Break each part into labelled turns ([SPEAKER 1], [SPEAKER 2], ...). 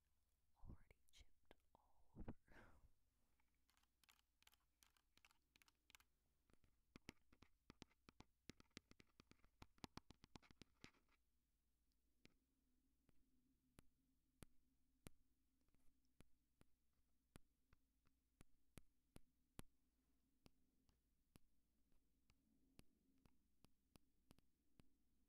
[SPEAKER 1] already chipped all over.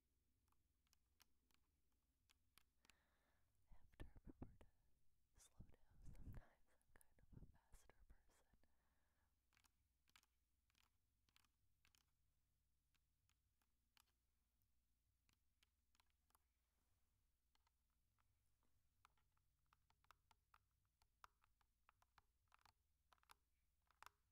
[SPEAKER 1] I have to remember to slow down sometimes. I'm kind of a faster person.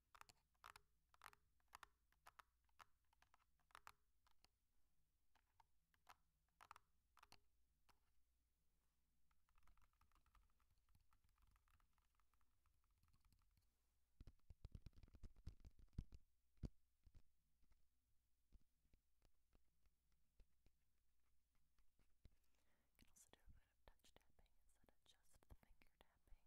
[SPEAKER 1] You can also do a bit of touch tapping instead of just the finger tapping.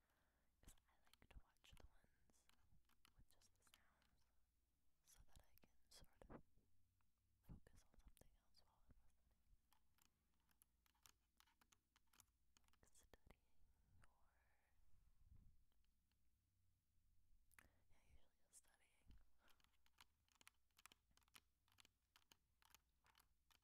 [SPEAKER 1] Because I like to watch the ones with just the sounds so that I can sort of focus on something else while I'm listening. Like studying or. Yeah, usually just studying.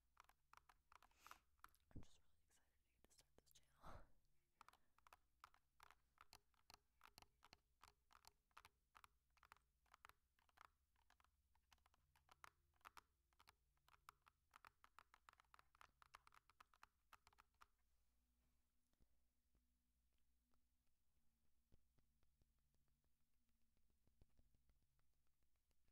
[SPEAKER 1] I'm just really excited to get to start this channel.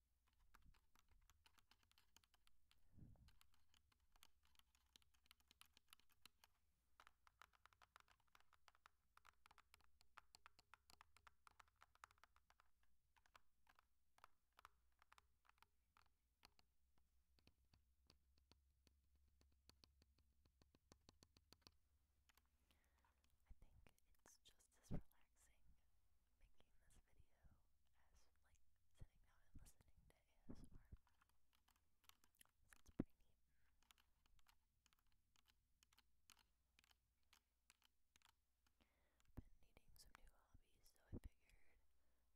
[SPEAKER 1] I think it's just as relaxing making this video as like sitting down and listening to ASMR. So it's pretty neat. Been needing some new hobbies, so I figured why not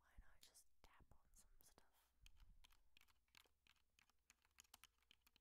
[SPEAKER 1] just tap on some stuff.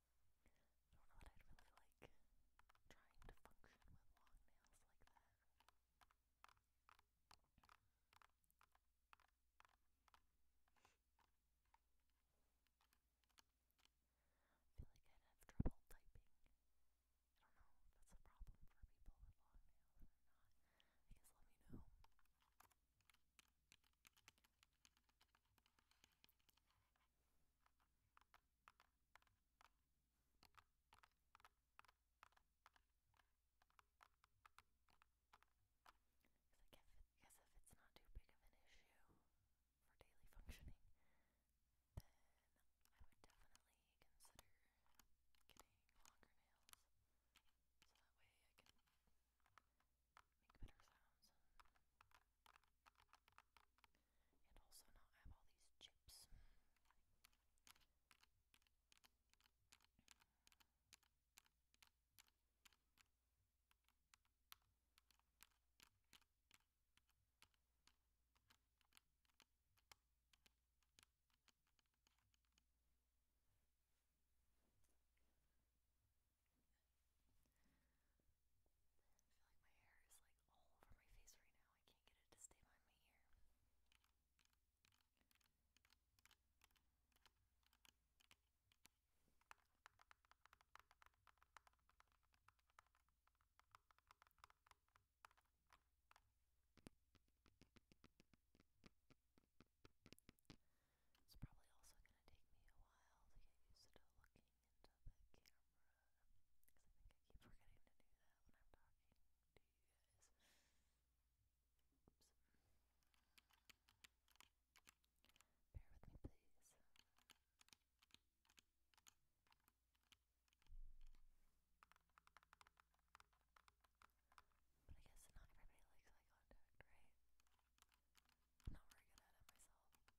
[SPEAKER 2] I don't know that I'd really like trying to function with long nails like that. I feel like I'd have trouble typing. I don't know if that's a problem for people with long nails or not. I let me know. I guess if it's not too big of an issue for daily functioning, then I would definitely consider getting longer nails so that way I can make better sounds. And also not have all these chips. I feel like my hair is like all over my face right now. I can't get it to stay behind my ear. It's probably also going to take me a while to get used to looking into the camera because I think I keep forgetting to do that when I'm talking Bear with me, please. But I guess not everybody likes eye contact, right? not very good at it myself.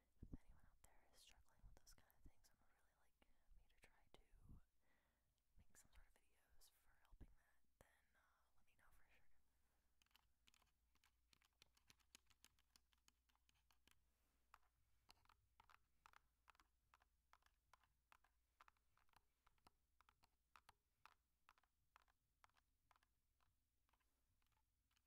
[SPEAKER 2] if anyone out there is struggling with those kind of things, I'm really like me to try to make some sort of videos for helping that, then uh, let me know for sure.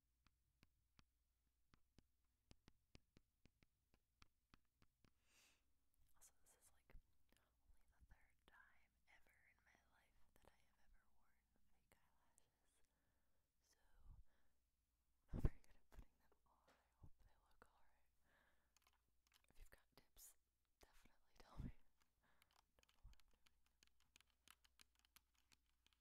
[SPEAKER 2] Also, this is like only the third time ever in my life that I have ever worn fake eyelashes. So, I'm very good at putting them on. I hope they look alright. If you've got tips, definitely tell me.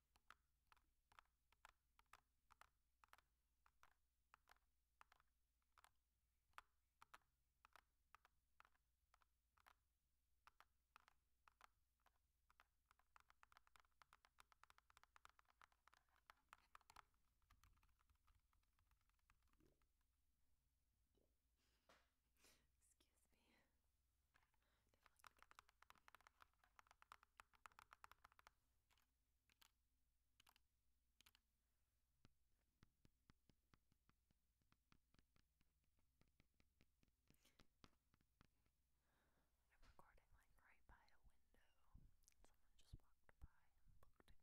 [SPEAKER 2] Excuse me. Definitely gonna get I'm recording like right by a window. Someone just walked by and looked at me through the window. I'm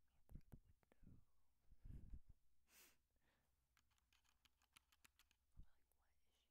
[SPEAKER 2] like, what is she